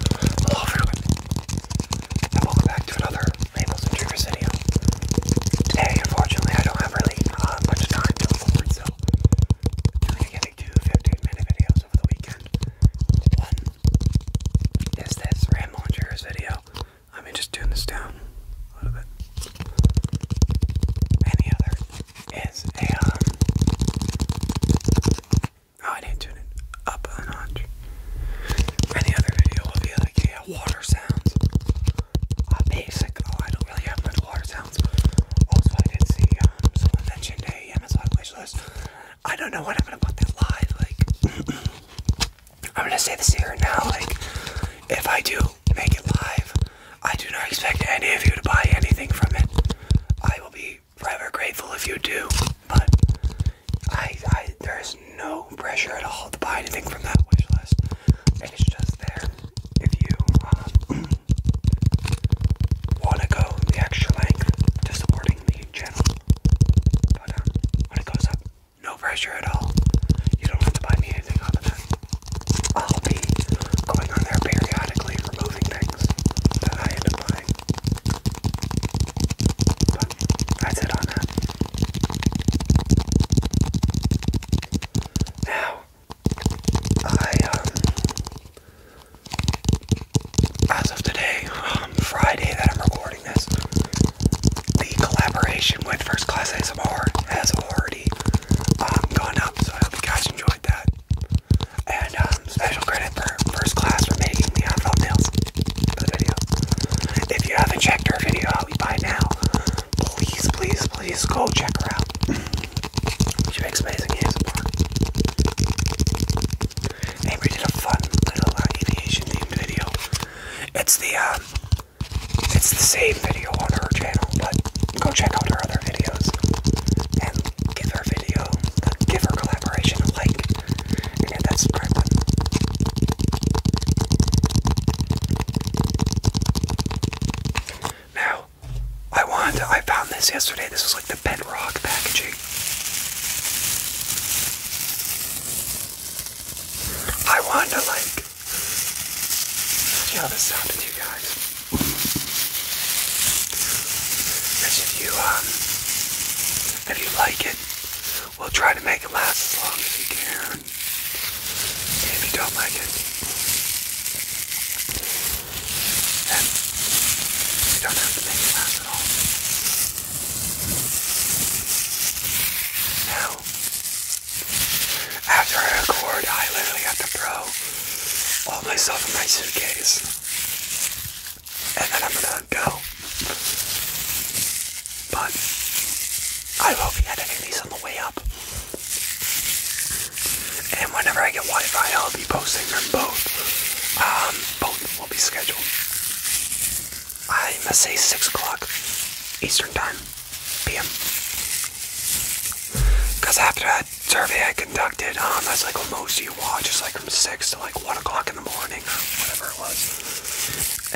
Hello everyone, and welcome back to another Labels and Triggers video. Today, unfortunately, I don't have really uh, much time to afford, so I'm going to get into 15 minute videos over the weekend. One is this Ramble and video. Let me just tune this down a little bit. And other is a, um, Oh, I didn't tune it up a notch. Any other video will be like, yeah, water sounds. Uh, basic. Oh, don't really have much water sounds. Also, I did see um, someone mentioned a Amazon wish I don't know what I'm gonna put that live. Like, I'm gonna say this here now. Like, if I do make it live, I do not expect any of you to buy anything from it. I will be forever grateful if you do. But I, I there's no pressure at all to buy anything from that wish list. it's just there if you um, want to go the extra length to supporting the um, when it goes up, no pressure at all. You don't have to buy me anything other than I'll be going on there periodically removing things that I end up buying. But that's it on that. Now, I, um, as of today, um, Friday that I'm recording this, the collaboration with First Class ASMR has already um, gone up, so I hope you guys enjoyed that. And um, special credit for First Class for making the uh, thumbnails for the video. If you haven't checked her video out by now, please, please, please go check her out. She makes amazing ASMR. And did a fun little uh, aviation themed video. It's the um, it's the same video on her channel, but go check out her other videos and give her video give her collaboration a like and hit that subscribe button. Now, I wanted I found this yesterday. This was like the bedrock packaging. I want to like see how this sounded you guys. Because if you um, if you like it, we'll try to make it last as long as you can. if you don't like it, then you don't have to make it last at all. Now, after I record, I literally have to throw all my in my suitcase and then I'm gonna go. But I hope will be editing these on the way up. And whenever I get Wi-Fi, I'll be posting them both. Um, both will be scheduled. I must say six o'clock Eastern time, p.m. Because after that, survey I conducted, um, that's like what most you watch, it's like from 6 to like 1 o'clock in the morning, or whatever it was.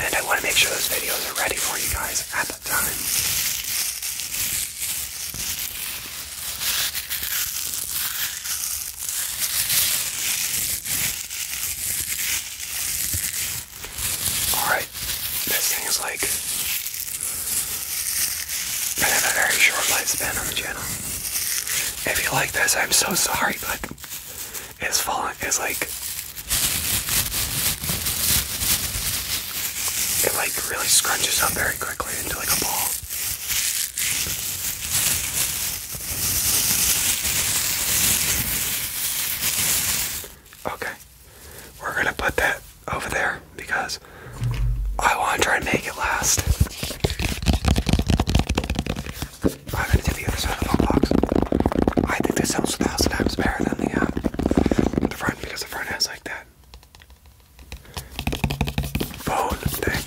And I want to make sure those videos are ready for you guys at that time. Alright, this thing is like I have a very short lifespan on the channel. If you like this, I'm so sorry, but it's falling. It's like it like really scrunches up very quickly into like a ball. Okay, we're gonna put that over there because I want to try and make it last. I'm gonna do the other side of the box. I think this sounds a thousand times better than the uh, the front because the front has like that phone thing.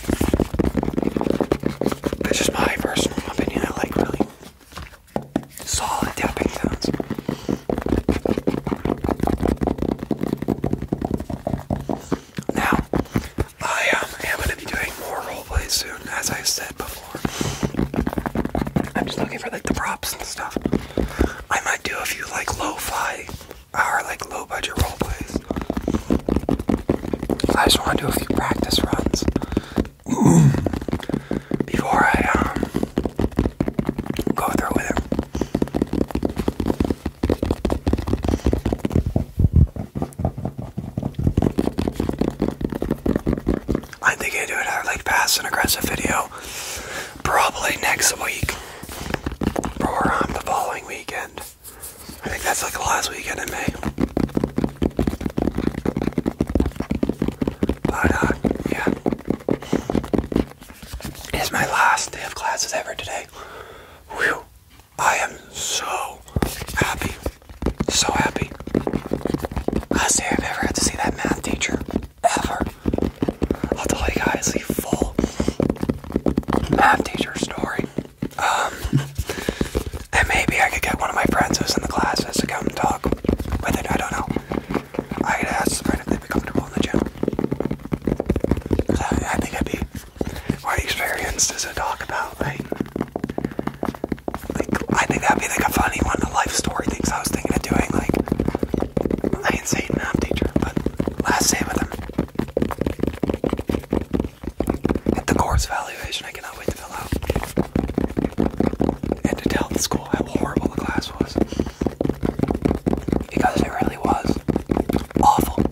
That's just my personal opinion. I like really solid tapping sounds. Now, I um, am going to be doing more roleplay soon, as I said before. I'm just looking for like the props and stuff. I might do a few like low fi or like low-budget roleplays. I just want to do a few practice runs before I um, go through with it. I think I do it another like pass and aggressive video probably next week or on the following weekend. I think that's like the last weekend in May. But uh, yeah, it's my last day of classes ever today. Whew. I am so happy. So happy. Last Honestly, I've ever had to see that math teacher. Ever. I'll tell you guys the full math teacher story. Um, and maybe I could get one of my friends who's in the classes to come talk with it. I don't know. I could ask them if they'd be comfortable in the gym. I think I'd be what experience does it talk about? Like, I think that'd be like a funny one, a life story things I was thinking of doing. Like, I ain't saying math teacher, but last day with him at the course evaluation. I cannot wait to fill out and to tell the school how horrible the class was because it really was awful.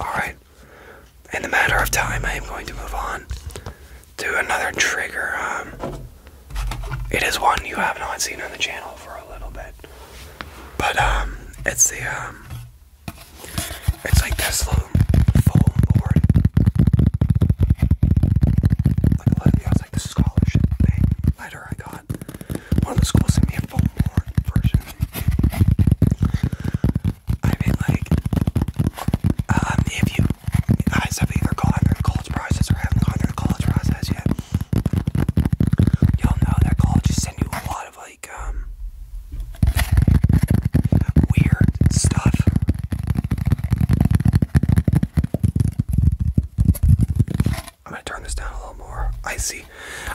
Alright. In the matter of time, I am going to move on to another trigger. Um, it is one you have not seen on the channel for a little bit. But, um, it's the, um, it's like this little foam board like the scholarship letter I got. One of the schools sent me a full version. I mean, like, um, if you guys have either gone through the college process or haven't gone through the college process yet, you'll know that colleges send you a lot of like um weird stuff. I'm gonna turn this down a little more. I see.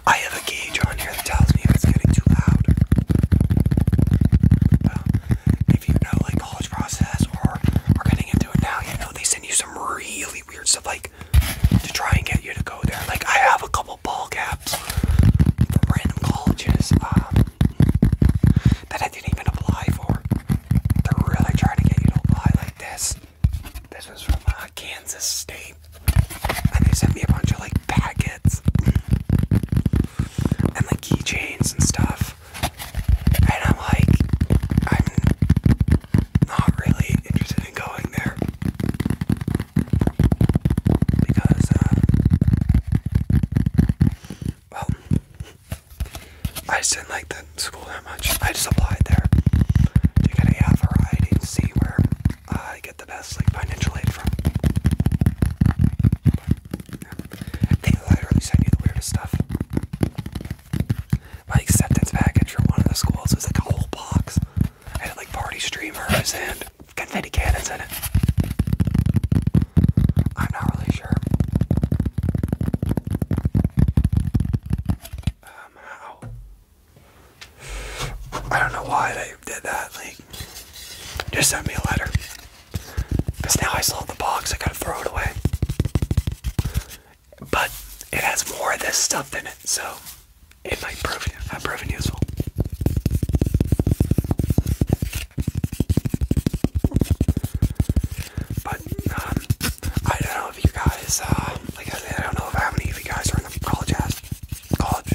I have a gauge on here that tells me if it's getting too loud. if you know like college process or are getting into it now, you know they send you some really weird stuff like to try and get you to go there. Like I have a couple ball caps from random colleges um, that I didn't even apply for. They're really trying to get you to apply like this. This was from uh, Kansas State. And they sent me a bunch of like packets and like keychains and stuff. And I'm like, I'm not really interested in going there. Because, uh, I just didn't like the school that much. I just applied there to get a variety and see where I get the best like financial aid from. They literally send you the weirdest stuff. My acceptance package from one of the schools was like a whole box. I had like party streamers and confetti cannons in it. I'm not really sure um, how. I don't know why they did that. Like, just send me a letter. Because now I still the box, I gotta throw it away. But it has more of this stuff in it, so it might prove have proven useful. But um, I don't know if you guys, uh, like I said, I don't know if how many of you guys are in the college college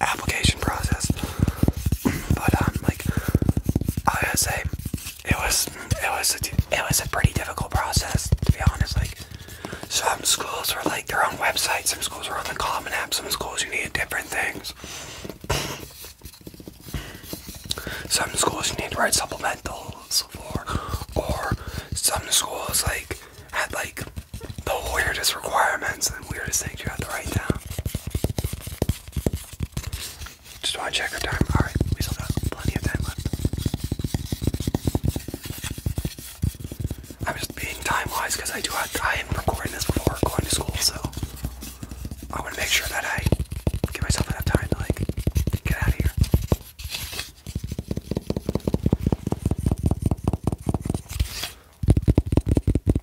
application process. But um, like I got say, it was it was a, it was a pretty difficult process to be honest. Like some schools are like their own website, some schools are on the Common App, some schools you need different things. Some schools need to write supplementals for, or some schools like had like the weirdest requirements and weirdest things you have to write down. Just want to check our time. All right, we still got plenty of time left. I'm just being time wise because I do have, I am recording this before going to school, so I want to make sure that I give myself enough time to like get out of here.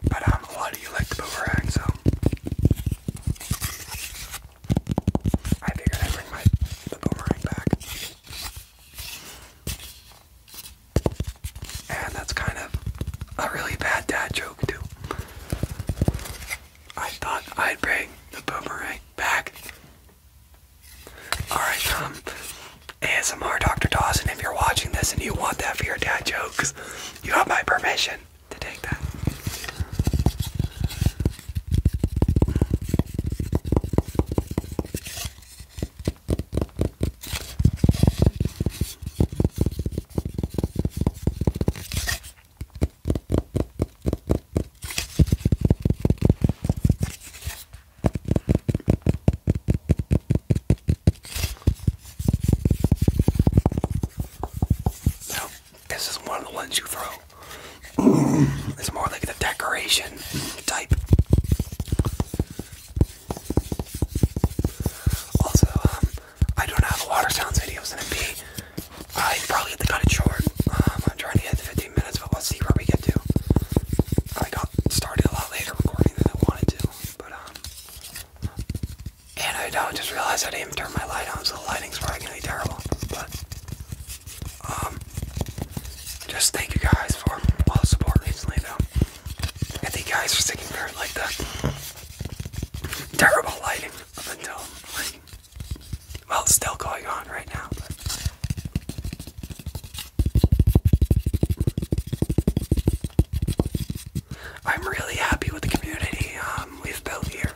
But um, a lot of you like the boomerang, so I figured I'd bring my boomerang back. And that's kind of a really bad dad joke too. I thought I'd bring the boomerang back. Alright, um, ASMR Dr. Dawson, if you're watching this and you want that for your dad jokes, you have my permission to take that. No, this is one of the ones you throw. it's more like the decoration type. Also, um, I don't have water sounds videos in it. I probably have to cut it short. Um, I'm trying to get to 15 minutes, but we'll see where we get to. I got started a lot later recording than I wanted to, but um, and I don't just realize I didn't even turn my light on, so the lighting's probably gonna be terrible. But um, just thank you guys for all the support recently, though. And thank you guys for sticking around like that terrible lighting up until well it's still going on right now I'm really happy with the community um, we've built here.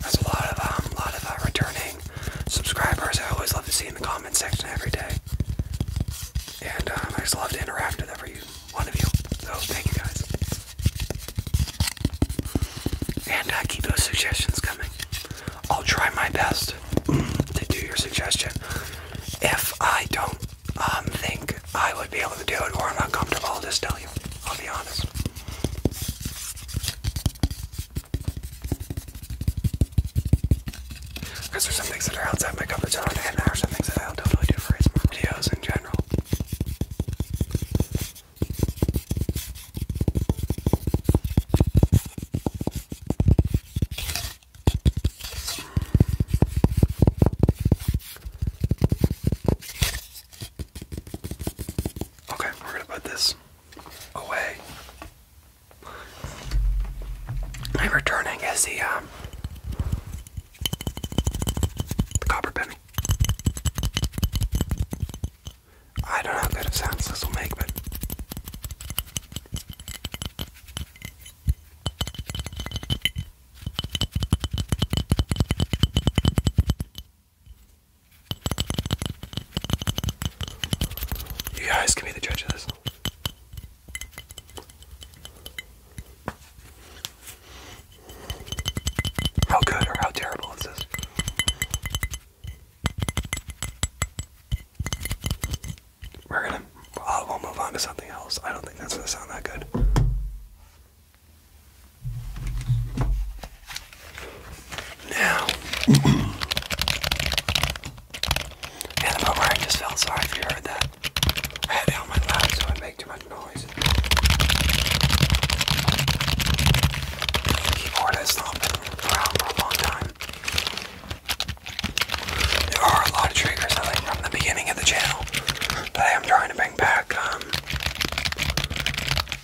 There's a lot of um, lot of uh, returning subscribers. I always love to see in the comment section every day. And um, I just love to interact with every one of you. So thank you guys. And uh, keep those suggestions coming. I'll try my best to do your suggestion. If I don't um, think I would be able to do it or I'm not comfortable, I'll just tell you. I'll be honest. Because there's some things that are outside my comfort zone, and there are some things that I don't really do for ASMR videos in general. Okay, we're gonna put this away. My returning is the um the copper penny. I don't know how good of sounds this will make, but you guys can be the judge of this. How good or how terrible is this? We're gonna. Uh, will move on to something else. I don't think that's gonna sound that good. Now, And I'm over, I just felt sorry if you heard that. I had it on my lap so it made too much noise. The keyboard has not been around for a long time. There are a lot of triggers I think from the beginning of the channel that I am trying to bring back. Um,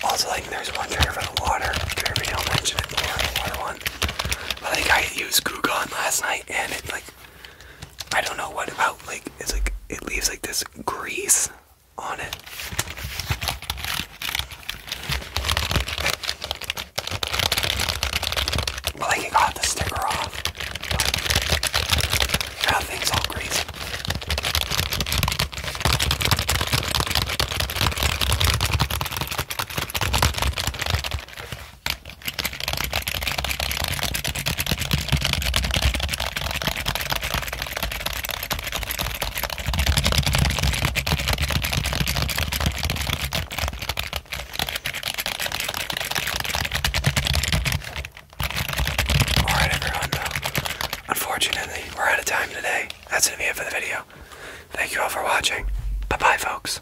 also, like there's one trigger for the water. Trigger, don't mention it. The water, the water one. But think I used Gugon last night, and it's like I don't know what about like it's like it leaves like this grease on it. But like it got the sticker off. Now things all greasy. Alright, everyone, Unfortunately, we're out of time today. That's gonna be it for the video. Thank you all for watching. Bye bye, folks.